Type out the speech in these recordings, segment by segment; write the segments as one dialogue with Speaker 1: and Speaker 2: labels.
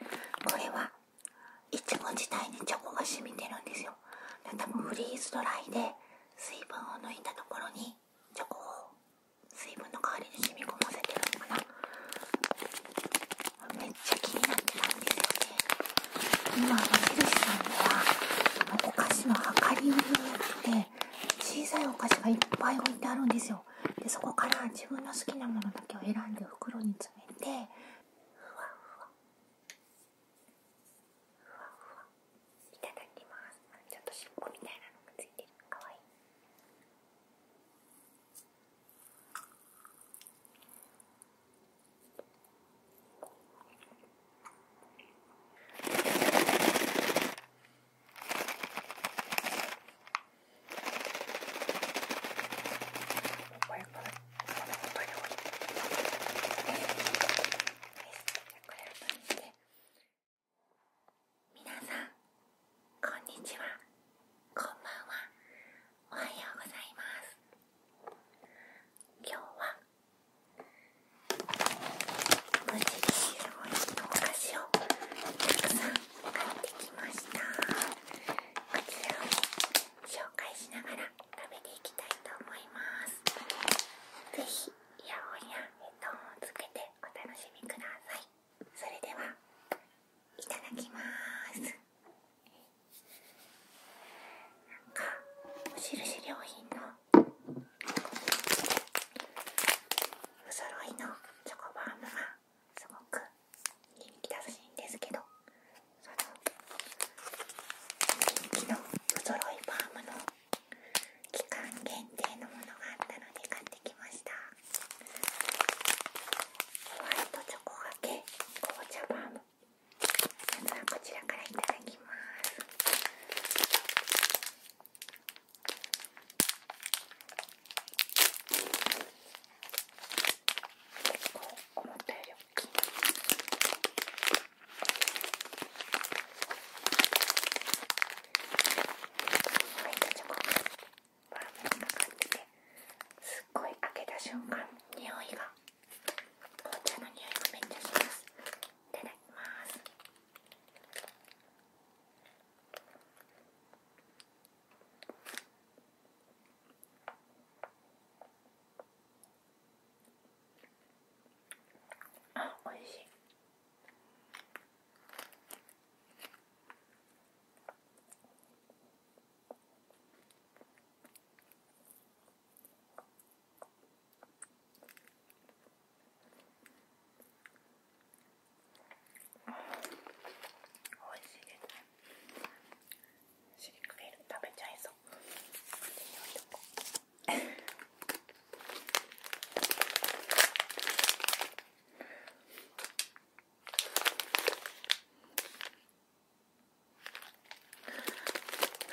Speaker 1: これはイチゴ自体にチョコが染みてるんですよ多分フリーズドライで水分を抜いたところにチョコを水分の代わりに染み込ませてるのかなめっちゃ気になってたんですよね今のヘさんではお菓子の量りりをやって小さいお菓子がいっぱい置いてあるんですよでそこから自分の好きなものだけを選んで袋ちょっと尻尾みたいなのがついてるかわいい皆さんこんにちはこんばんはおはようございます今日は無印のお菓子をたくさん買ってきました。こちらを紹介しながら食べていきたいと思います是非イヤホンやヘッをつけてお楽しみくださいそれではいただきますんか無印良品のお揃いのチョコバームがすごく人気らしいんですけどその人気のお揃いフームの期間限定のものがあったので買ってきましたホワイトチョコがけ紅茶フームまずはこちらからいただきますこう思ったより大きいホワイトチョコがバラバラな感じですっごい開けた瞬間匂いが紅茶の匂いがめっちゃしますいただきますあおいしい。おいしいです食べちゃいそうこい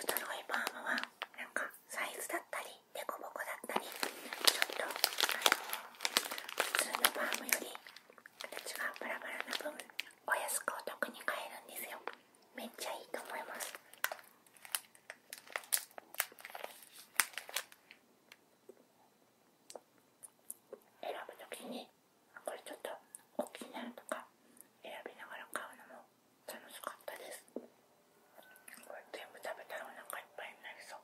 Speaker 1: とームはなんかサイズだったりデコボコだったり普通のバームより形がバラバラな分お安くお得に買えるんですよめっちゃいいと思います選ぶときにこれちょっと大きいなとか選びながら買うのも楽しかったですこれ全部食べたらお腹いっぱいになりそう。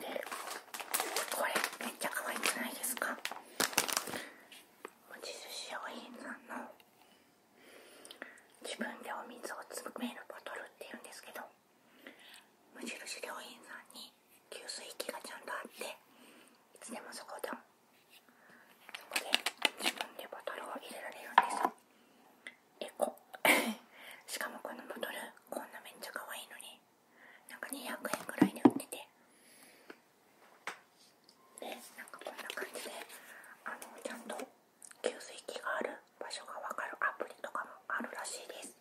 Speaker 1: でこれめっちゃ可愛くないですか無印商品さんの自分でお水を詰めるボトルっていうんですけど無印良品さんに給水器がちゃんとあっていつでもそこでそこで自分でボトルを入れられるんですエコ しかもこのボトルこんなめっちゃ可愛いのになんか200円ぐらいで売っててでなんかこんな感じであのちゃんと給水器がある場所がわかるアプリとかもあるらしいです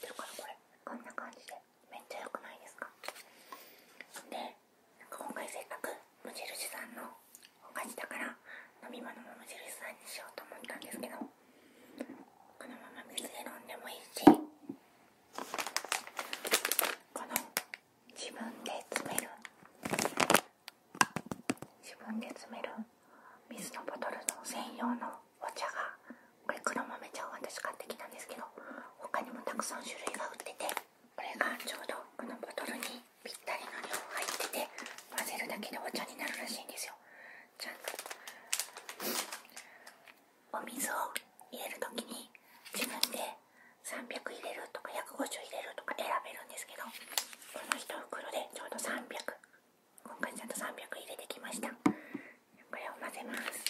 Speaker 1: 知ってるからこれこんな感じでめっちゃ良くないですかで今回せっかく無印さんの他にだから飲み物も無印さんにしようと思ったんですけどこのまま水で飲んでもいいしこの自分で詰める自分で詰める水のボトルの専用のお茶がこれ黒豆茶を私買ってきたんですけど他にもたくさん種類が売っててこれがちょうどこのボトルにぴったりの量入ってて混ぜるだけでお茶になるらしいんですよちゃんとお水を入れる時に自分で300入れるとか150入れるとか選べるんですけどこの1袋でちょうど300今回ちゃんと300入れてきましたこれを混ぜます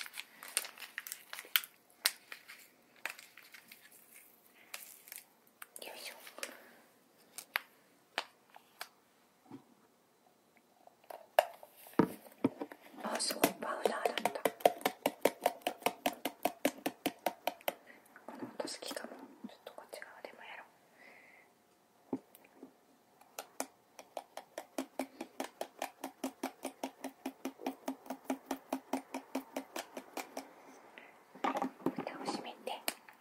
Speaker 1: よいしょあすごいパウダーだったこの音好きかもちょっとこっち側でもやろう蓋を閉めて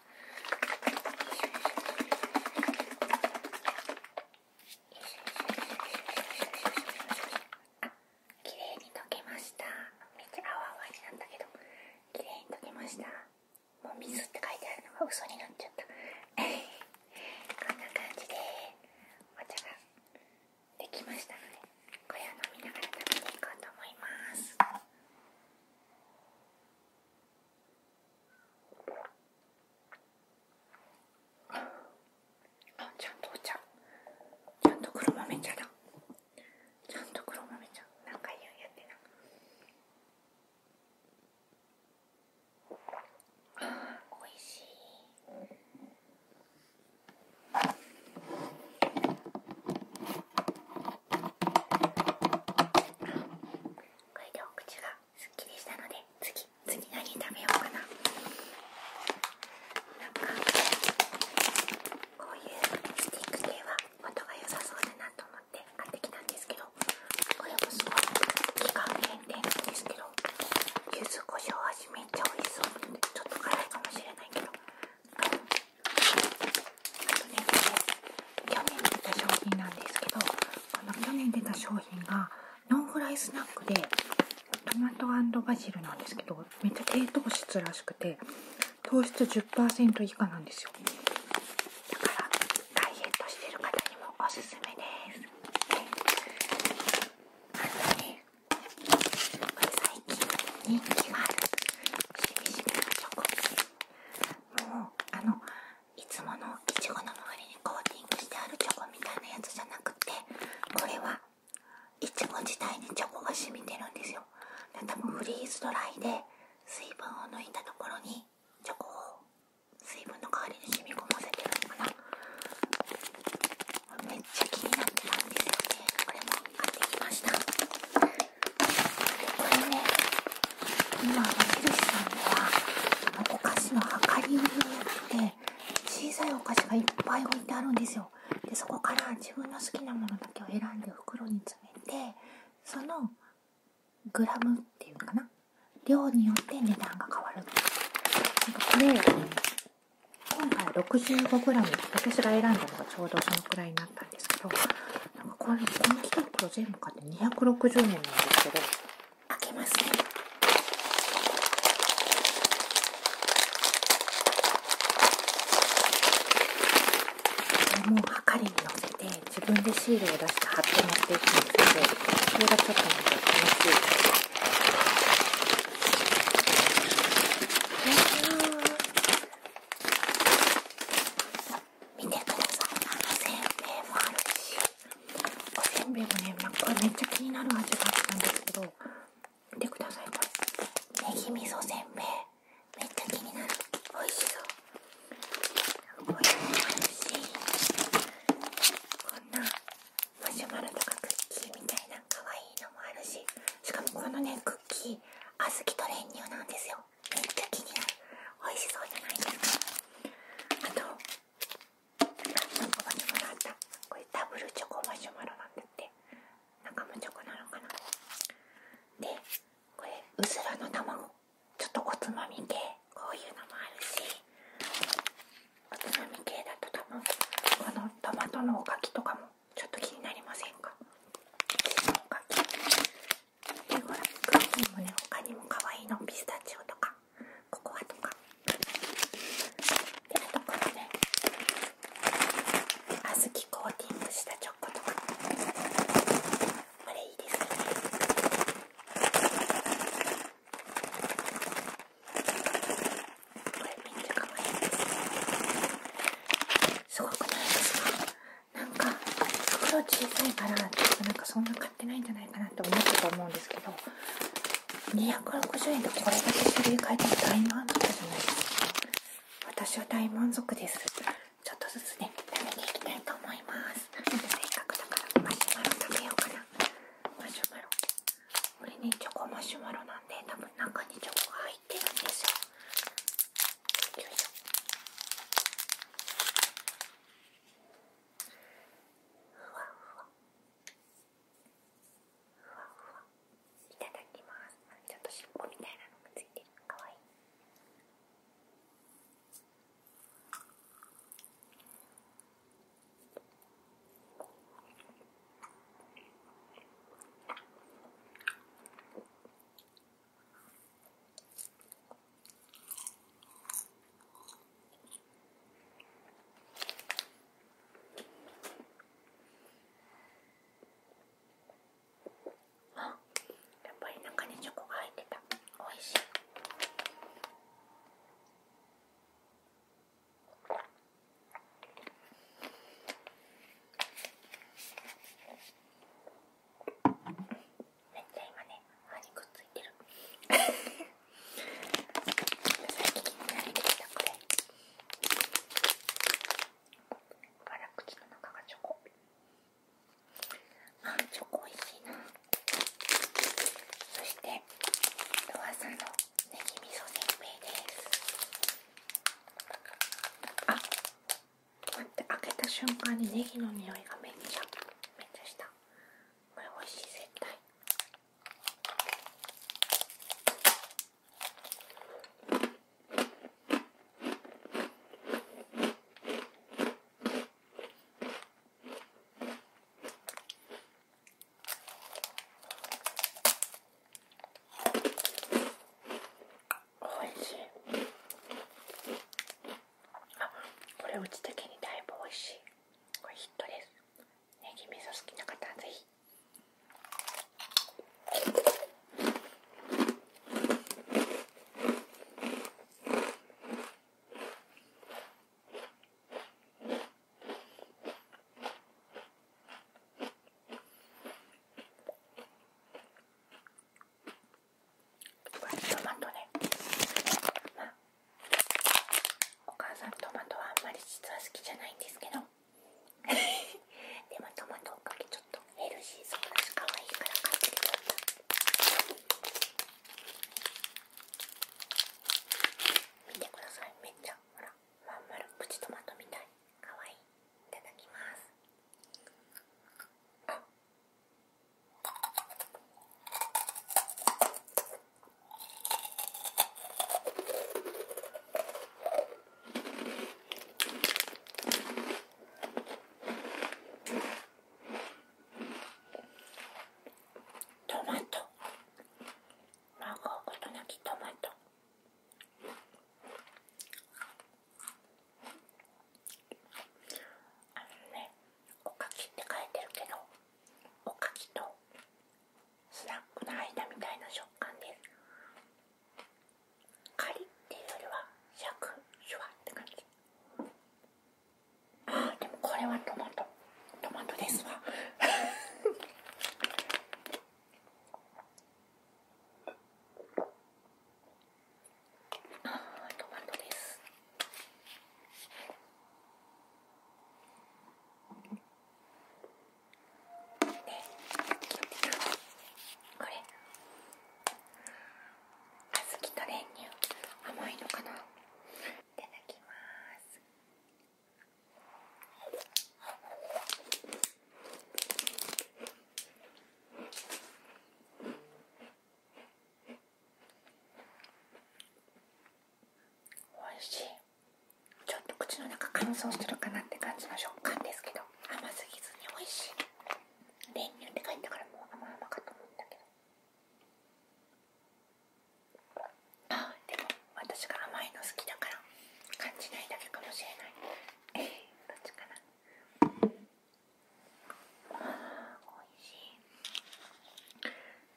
Speaker 1: 綺麗に溶けましためっちゃ泡泡になったけど綺麗に溶けましたもう水って書いてあるのが嘘になっちゃったこんな感じでお茶ができましたのでこれを飲みながら食べていこうと思いますあちゃんとお茶ちゃんと黒豆茶だちゃんと黒豆茶かいややってなあおいしいこれでお口がすっきりしたので次次何食べようかななかこういうスティック系は音が良さそうだなと思って買ってきたんですけどこれもすごい期間限定なんですけど柚子胡椒味めっちゃ美味しそうちょっと辛いかもしれないけど。去年出た商品なんですけどこの去年出た商品がノンフライスナックでトマトバジルなんですけどめっちゃ低糖質らしくて糖質10%以下なんですよだからダイエットしてる方にもおすすめですあとねこれ最近人気しみしみのチョコもうあのいつものいちごの周りにコーティングしてあるチョコみたいなやつじゃなくてこれはいちご自体にチョコが染みてるんですよで多分フリーズドライで水分を抜いたところにチョコを水分の代わりに染み込ませてるのかなめっちゃ気になってたんでこれも買ってきましたこれね今矢印さんではあのお菓子の量り売りになって小さいお菓子がいっぱい置いてあるんですよでそこから自分の好きなものだけを選んで袋に詰めてそのグラムっていうかな量によって値段が変わるなんかこれ今回 65g 私が選んだのがちょうどそのくらいになったたですけどなんかこれこのスタ全部買って260円なんですけど開けますねこれもはかりに乗せて自分でシールを出して貼って持っていくんですけどそれがちょっとなか楽しいです見てくださいあのせんべいもあるしおせんべいもねなんかめっちゃ気になる味だったんですけど見てくださいこれねぎみそせんべいめっちゃ気になる美味しそうこんなマシュマロとかクッキーみたいな可愛いのもあるししかもこのねクッキー小豆と練乳なんですよめっちゃ気になる美味しそうじゃないですかあと何個かにもらったこれダブルチョコマシュマロなんだって中もチョコなのかなでこれうずらの卵ちょっとおつまみ系こういうのもあるしおつまみ系だと多分このトマトのおかきとかもちょっと気になりませんかでほらクッキーもね他にも可愛いのピスタチオとかココアとかであとこのね小豆コーティングしたチョコとかこれいいですよねこれめっちゃ可愛いですすごくないですかなんか袋小さいからちょっとなんかそんな買ってないんじゃないかなって思ったと思うんですけど260円でこれだけ種類買えても大満足じゃないですか私は大満足ですちょっとずつね食べていきたいと思いますなせっかくだからマシュマロ食べようかなマシュマロこれねチョコマシュマロなんで多分中にチョコが入ってるんですよしょふいただきますちょっと尻尾みたいなのがついてるかわいいあやっぱり中にチョコが入ってたおいしい。めっちゃ今ね歯にくっついてる最近気になってきたこれ辛口の中がチョコあーチョコおいしいなそしてロワさんのネギ味噌せんべいですあっ、待って開けた瞬間にネギの匂いがめっちゃめっちゃしたこれ美味しい絶対おいしいあこれうち的にだいぶおいしいこれヒットですネギ味噌好きな方はぜひトマトね、まあ、お母さんトマトはあんまり実は好きじゃないんですけど でもトマトおかげちょっとヘルシーそうだし可愛いから買ってきちゃっ見てくださいめっちゃほらまん丸プチトマトみたいかわいいいただきますトマトマーゴーことなきトマトあのねおかきって書いてるけどおかきとスナックの間みたいな食感ですカリっていうよりはシャクシュワって感じあーでもこれはトマトトマトですわトマトですこれ小豆と練乳甘いのかないただきます。おいしいちょっと口の中乾燥してるかなって感じの食感ですけど甘すぎずにおいしい練乳って書いてたからもう甘々かと思ったけどあでも私が甘いの好きだから感じないだけかもしれない どっちかなあおいしい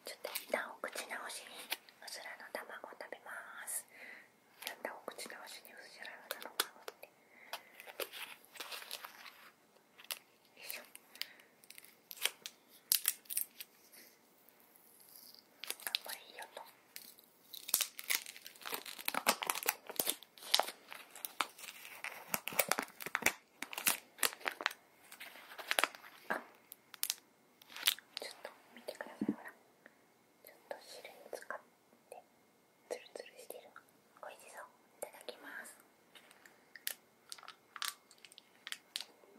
Speaker 1: ちょっと一旦お口直しにうずらの卵食べますやったお口直しにうずらの卵ってよいしょあんまいいよと。ちょっと見てください、ほら。ちょっと汁に使って、つるつるしてる。おいしそう。いただきます。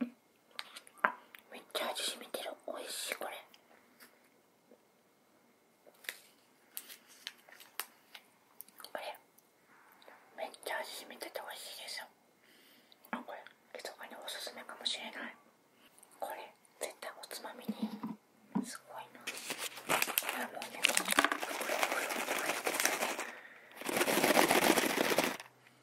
Speaker 1: うんめっちゃ味しみてるおいしいこれこれめっちゃ味しみてておいしいですよあこれ密かにおすすめかもしれないこれ絶対おつまみにすごいなこれもうね袋袋って入ってるね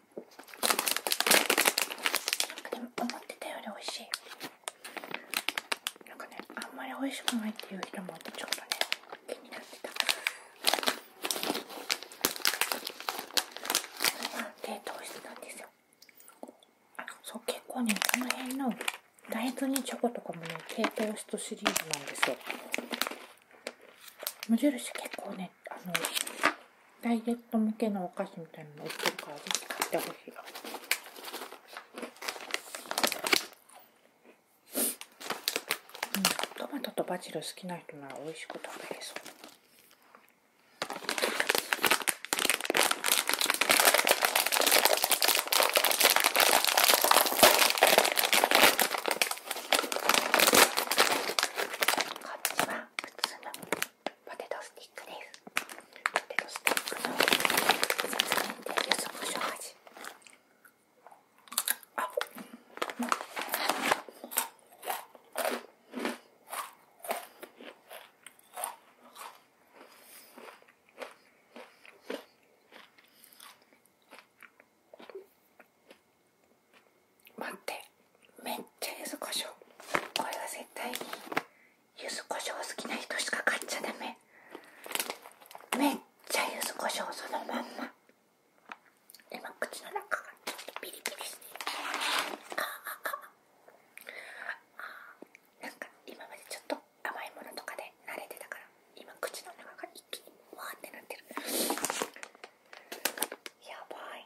Speaker 1: でも思ってたより美味しいなんかねあんまり美味しくないっていう人もいてちょっとね気になってたそれそう結構ねこの辺の大豆にチョコとかもね低糖質シリーズなんですよ無印結構ねあの、ダイエット向けのお菓子みたいなの売ってるから、ぜひ買ってほしい。うん、トマトとバジル好きな人なら美味しく食べれそう。ポテトスティックですポテトスティックの説明で柚子胡椒味あ待ってめっちゃ柚子胡椒これは絶対に柚子胡椒好きな人しか買っちゃダメめっちゃ柚子胡椒そのまんま今口の中がちょっとビリビリしてああ、なんか今までちょっと甘いものとかで慣れてたから今口の中が一気にわーってなってるやばい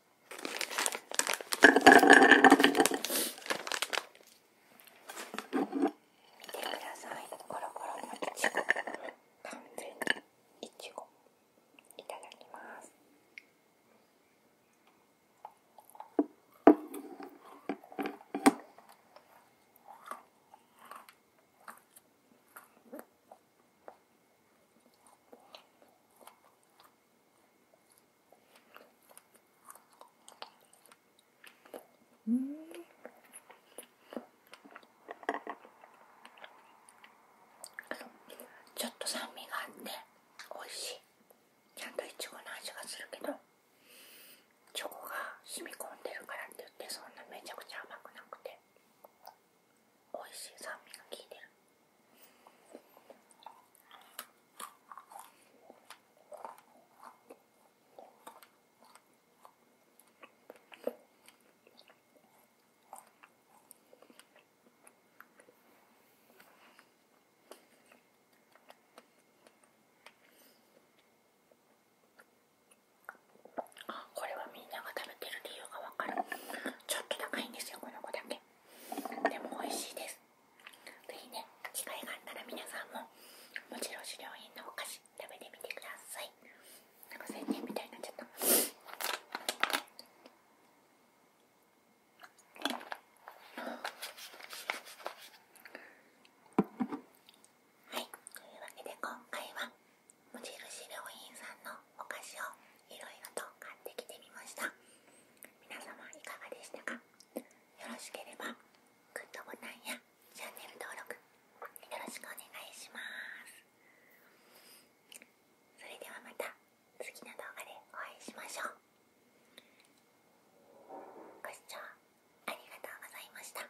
Speaker 1: さいコロコロのいちご完全にいちごいただきますうんちょっと酸味があって美味しいちゃんといちごの味がするけどチョコが染み込んでるからって言ってそんなめちゃくちゃ甘くなくておいしい酸味が効いてるあ、これはみんなが食べてる理由がわかるちょっと高いんですよこの子だけでも美味しいです是非ね機会があったら皆さんももちろん狩猟品のお菓子食べてみてくださいなんか宣伝みたいになっちゃったはいというわけで今回は無印良品さんのお菓子をいろいろと買ってきてみました皆様いかがでしたかよろしければグッドボタンやチャンネル登録よろしくお願いしますそれではまた次の動画でお会いしましょうご視聴ありがとうございました